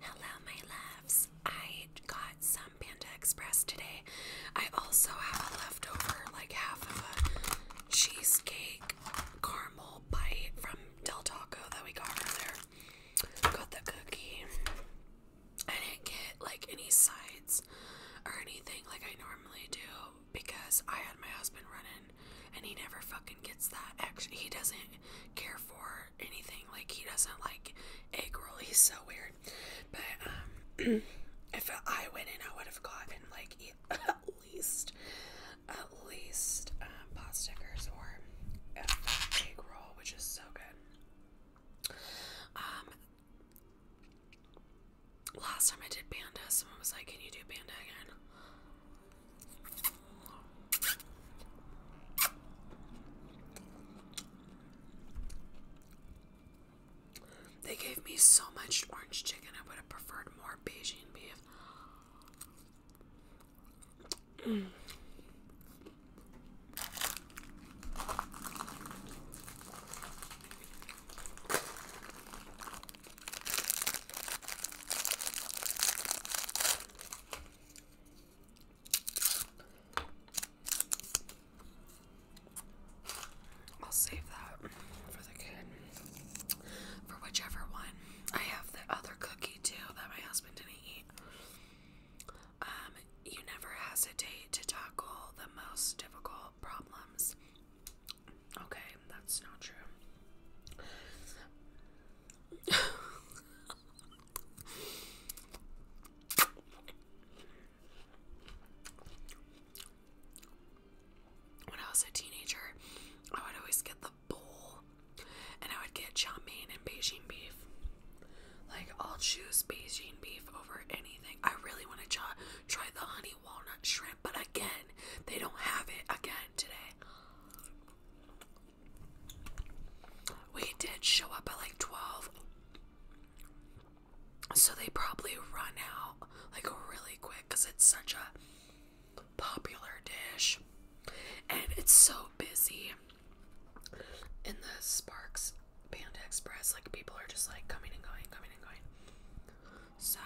Hello, my loves. I got some Panda Express today. I also have a leftover, like half of a cheesecake caramel bite from Del Taco that we got from earlier. Got the cookie. I didn't get like any sides or anything like I normally do because I had my husband running and he never fucking gets that. Actually, he doesn't care for anything. Like he doesn't like egg roll. He's so weird. But um, if I went in, I would have gotten like at least at least um, pot stickers or an egg roll, which is so good. Um, last time I did panda, someone was like, "Can you do panda again?" They gave me so much orange chicken, I would have preferred more Beijing beef. I'll save that for the kid. For whichever one. I have the other cookie too that my husband didn't eat. Um, you never hesitate to tackle the most difficult problems. Okay, that's not true. when I was a teenager, I would always get the bowl and I would get chow mein and Beijing beef. Like, I'll choose Beijing beef over anything. I really want to try, try the honey walnut shrimp, but again, they don't have it again today. We did show up at like 12. So they probably run out like really quick because it's such a popular dish. And it's so busy in the Sparks Panda Express. Like people are just like coming and going, coming and going. So.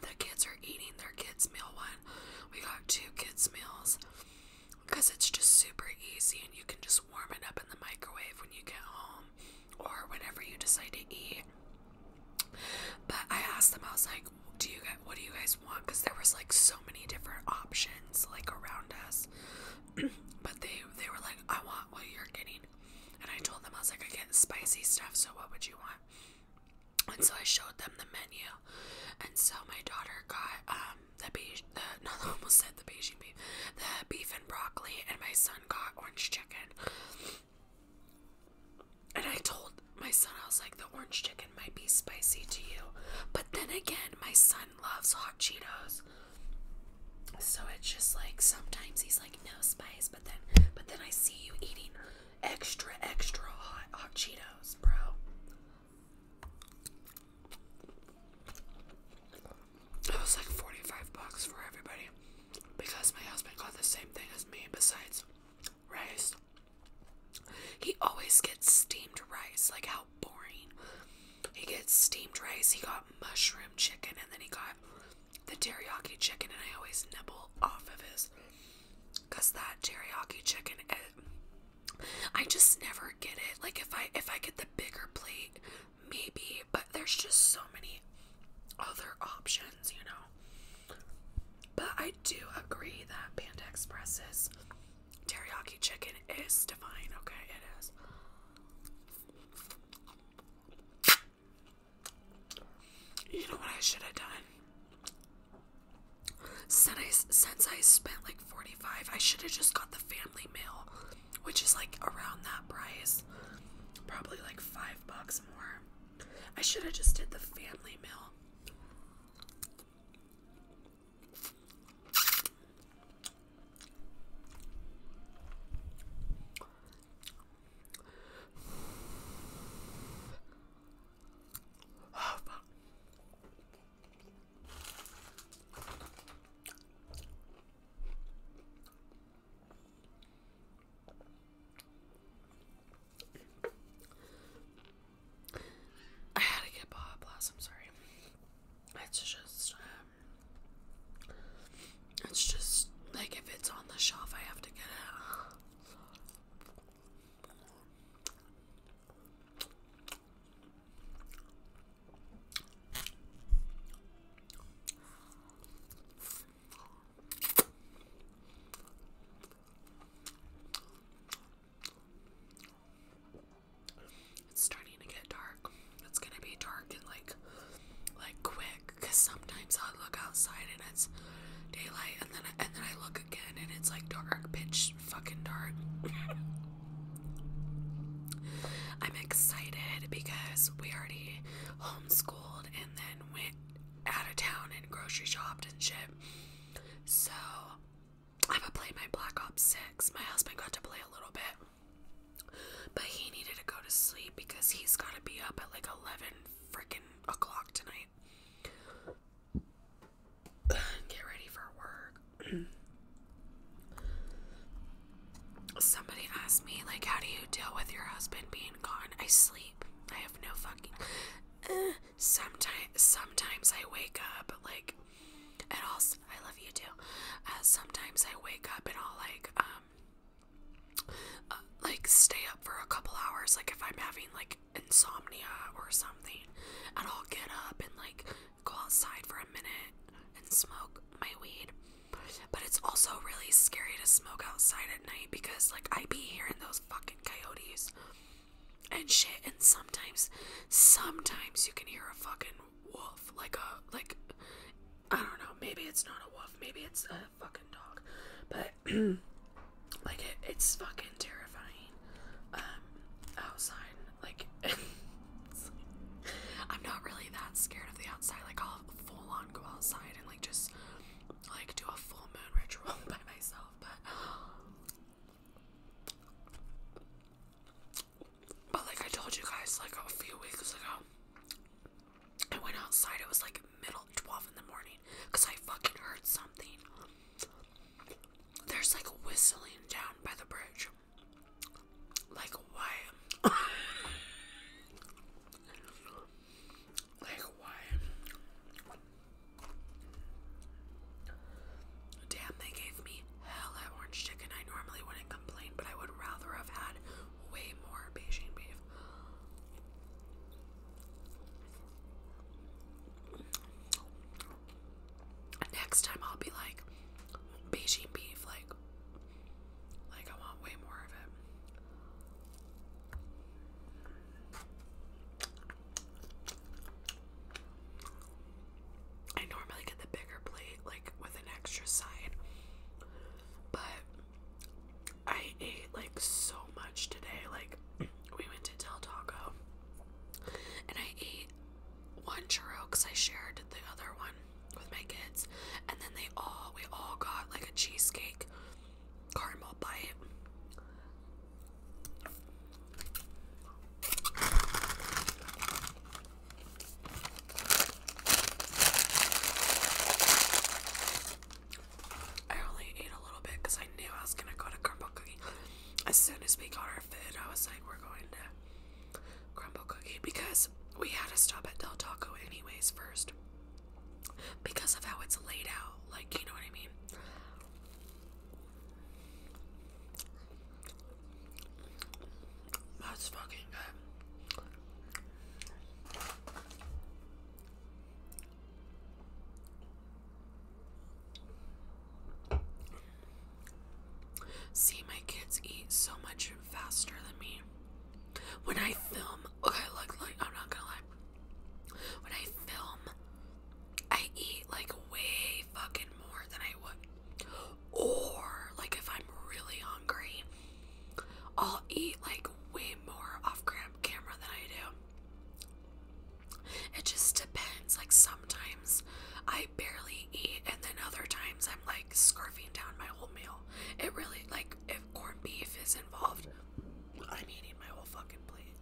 The kids are eating their kids' meal one. We got two kids' meals because it's just super easy and you can just warm it up in the microwave when you get home or whenever you decide to eat. But I asked them, I was like, do you guys, what do you guys want? Because there was like so many different options like around us. but they they were like, I want what you're getting. And I told them, I was like, I get spicy stuff, so what would you want? and so I showed them the menu, and so my daughter got um the beige, the no, I almost said the Beijing beef, the beef and broccoli, and my son got orange chicken. And I told my son, I was like, the orange chicken might be spicy to you, but then again, my son loves hot Cheetos, so it's just like sometimes he's like no spice, but then but then I see you eating extra extra hot hot Cheetos, bro. It was like 45 bucks for everybody because my husband got the same thing as me besides rice. He always gets steamed rice, like how boring. He gets steamed rice, he got mushroom chicken, and then he got the teriyaki chicken, and I always nibble off of his because that teriyaki chicken, I just never get it. Like if I if I get the bigger plate, maybe, but there's just so many other options, you know. But I do agree that Panda Express's teriyaki chicken is divine, okay? It is. You know what I should have done? Since I, since I spent like 45 I should have just got the family mail, which is like around that price. Probably like five bucks more. I should have just did the family mail. Oh, I had to get Baja Blast, I'm sorry. It's just, um, it's just, like, if it's on the shelf, I have to get it. It's starting to get dark. It's gonna be dark and like like quick because sometimes I look outside and it's daylight and then and then I look and it's like dark, pitch fucking dark. I'm excited because we already homeschooled and then went out of town and grocery shopped and shit. So I'm gonna play my Black Ops 6. My husband got to play a little bit, but he needed to go to sleep because he's gotta be up at like 11 freaking o'clock tonight get ready for work. Somebody asked me, like, how do you deal with your husband being gone? I sleep. I have no fucking. Eh. sometimes, sometimes I wake up like, and all. I love you too. Uh, sometimes I wake up and I'll like, um, uh, like stay up for a couple hours. Like if I'm having like insomnia or something, and I'll get up and like go outside for a minute and smoke my weed. But it's also really scary to smoke outside at night because like I be hearing those fucking coyotes and shit and sometimes sometimes you can hear a fucking wolf like a like I don't know, maybe it's not a wolf, maybe it's a fucking dog. But like it's fucking terrifying um, outside like I'm not really that scared of the outside like I'll full on go outside and like just like do a full moon ritual by myself but but like I told you guys like a few weeks ago I went outside it was like middle 12 in the morning because I fucking heard something there's like a whistling down by the bridge. Like, why? like, why? Damn, they gave me hell at orange chicken. I normally wouldn't complain, but I would rather have had way more Beijing beef. Next time I'll be like Beijing beef, like like I want way more of it. I normally get the bigger plate, like with an extra side, but I ate like so much today. Like, we went to Del Taco and I ate one churro because I shared the other one with my kids, and then they all we all got like a cheesecake caramel bite. I only ate a little bit because I knew I was gonna go to caramel cookie as soon as we got our food, I was like, we're going to Crumble Cookie because we had to stop at Del Taco anyways first because of how it's laid out. Like, you know what I mean? That's fucking good. See, my kids eat so much faster than me. When I film, okay, look, like I'm not gonna lie. When I film, I eat like way fucking more than I would. Or like if I'm really hungry, I'll eat like way more off camera than I do. It just depends. Like sometimes I barely eat, and then other times I'm like scarfing down my whole meal. It really, like, if corned beef is involved, I'm eating my whole fucking plate.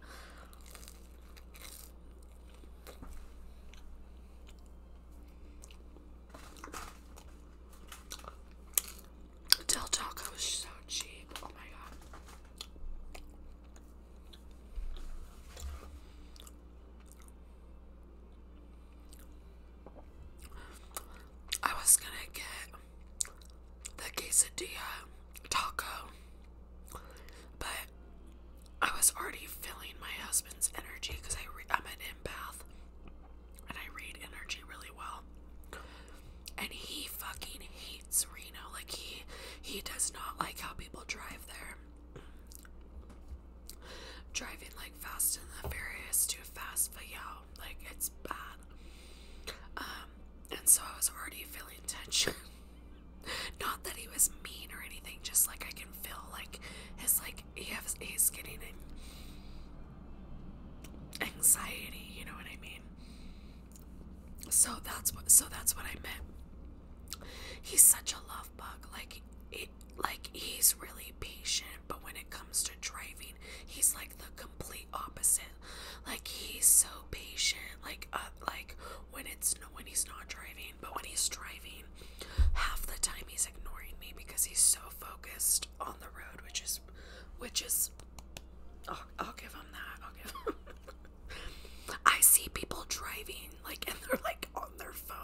Del Taco is so cheap. Oh my god. I was gonna get the quesadilla taco, but I was already feeling my husband's energy because I am an empath and I read energy really well. And he fucking hates Reno. Like he he does not like how people drive there. Driving like Fast and the Furious, too fast for y'all. Like it's bad. Um, and so I was already feeling tension. Not that he was mean or anything, just like I can feel like his like he has he's getting anxiety. You know what I mean? So that's what so that's what I meant he's such a love bug. Like it, like he's really patient, but when it comes to driving, he's like the complete opposite. Like he's so patient. Like uh, like when it's when he's not driving, but when he's driving, half the time he's ignoring me because he's so focused on the road, which is which is. I'll give him that. I'll give him. I see people driving like and they're like on their phone.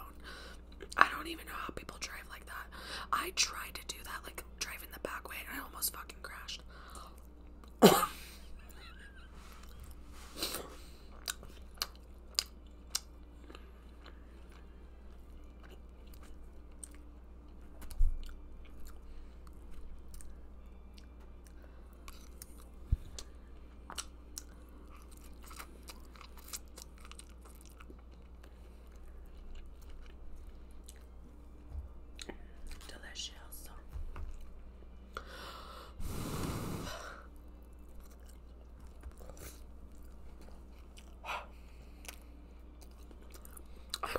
I don't even know how people drive like that. I tried to do that, like driving the back way, and I almost fucking crashed. Delicious. I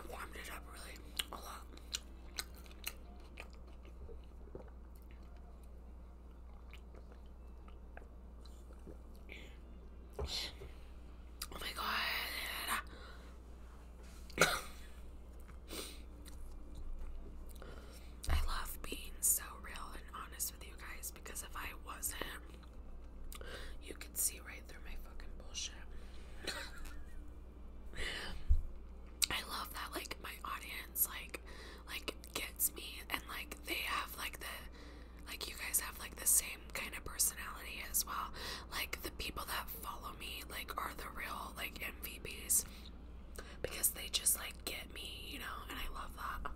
warmed it up really a lot. Oh my god. I love being so real and honest with you guys because if I wasn't, you could see right through my fucking bullshit. I love that like my audience like like gets me and like they have like the like you guys have like the same kind of personality as well. Like the people that follow me like are the real like MVPs because they just like get me, you know, and I love that.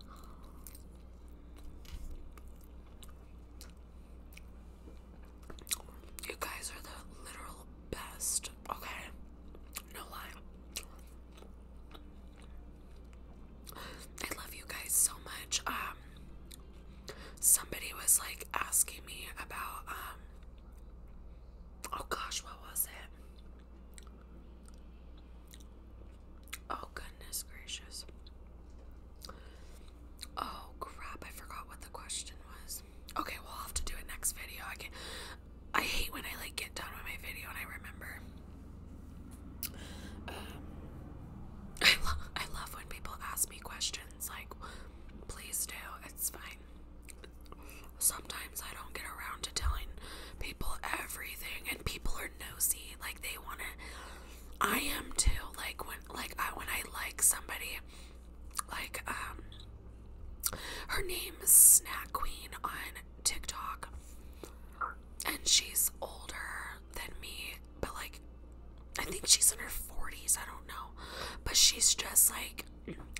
You guys are the literal best, okay? No lie. I love you guys so much. Um somebody was like asking me about um oh gosh, what was it? Oh goodness gracious. Oh crap, I forgot what the question was. Okay, we'll have to do it next video. I can I hate when I like get done with my video and I remember. Um, I, love I love when people ask me questions like, please do, it's fine. Sometimes I don't get around to telling people everything, and people are nosy. Like they want to. I am too. Like when, like I, when I like somebody, like um, her name is Snack Queen on TikTok and she's older than me, but like I think she's in her 40s, I don't know. But she's just like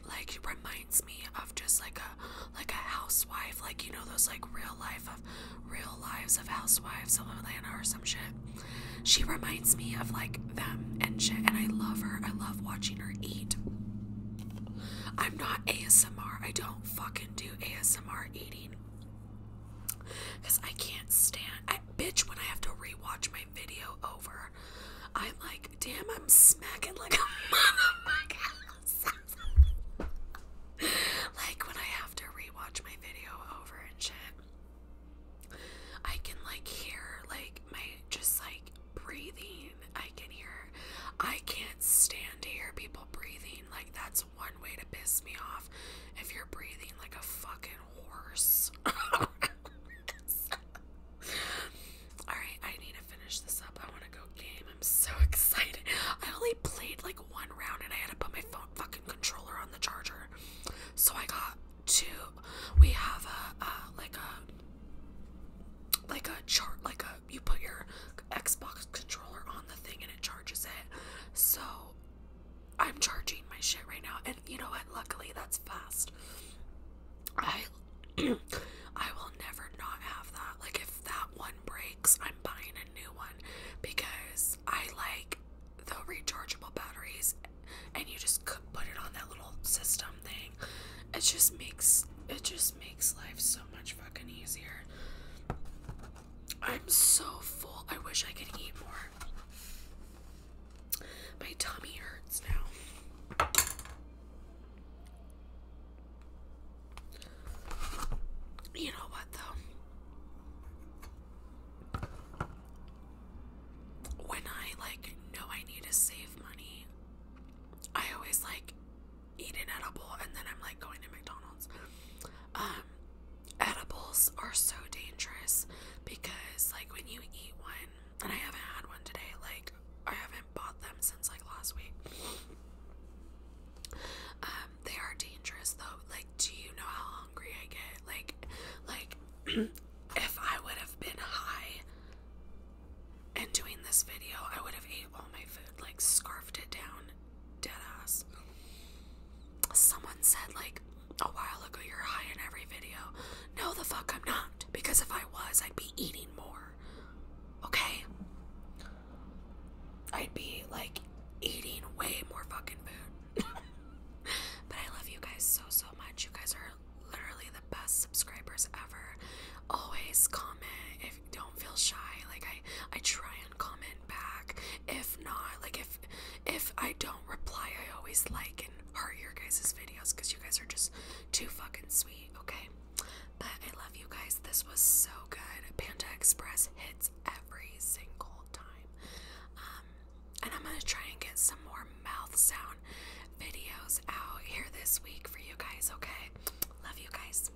like reminds me of just like a like a housewife, like you know those like real life of real lives of housewives of Atlanta or some shit. She reminds me of like them and shit and I love her. I love watching her eat. I'm not ASMR. I don't fucking do ASMR eating because I can't stand. I, bitch, when I have to rewatch my video over, I'm like, damn, I'm smacking like a motherfucker. like when I have to rewatch my video over and shit. I can like hear like my just like breathing. I can hear. I can't stand to hear people breathing like that's one way to piss me off. If you're breathing like a fucking horse. Alright, I need to finish this up. I want to go game. I'm so excited. I only played like one round and I had to put my phone fucking controller on the charger. So I got two. We have a, like a, like a chart, like a you put your Xbox controller on the thing and it charges it. So I'm charging my shit right now, and you know what? Luckily, that's fast. I I will never not have that. Like if that one breaks, I'm buying a new one because I like the rechargeable batteries, and you just put it on that little system thing. It just makes it just makes life so much fucking easier. I'm so full. I wish I could eat more. My tummy hurts now. You know what, though? When I like know I need to save money, I always like eat an edible and then I'm like going to McDonald's. Um, edibles are so dangerous because, like, when you eat one, and I haven't had one today, like, I haven't bought them since like last week. Um, they are dangerous though. Like, do you know how hungry I get? Like, like, if I would have been high and doing this video, I would have ate all my food, like, scarfed it down Deadass. Someone said like a while ago you're high in every video. No, the fuck I'm not. Because if I was, I'd be eating more. Okay? I'd be like eating way more fucking food. but I love you guys so, so much. You guys are literally the best subscribers ever. Always comment don't feel shy. Like I I try and comment back. If not, like if if I don't reply, I always like and heart your guys' videos because you guys are just too fucking sweet, okay? But I love you guys. This was so good. Panda Express hits every single time. Um, and I'm gonna try and get some more mouth sound videos out here this week for you guys, okay? Love you guys.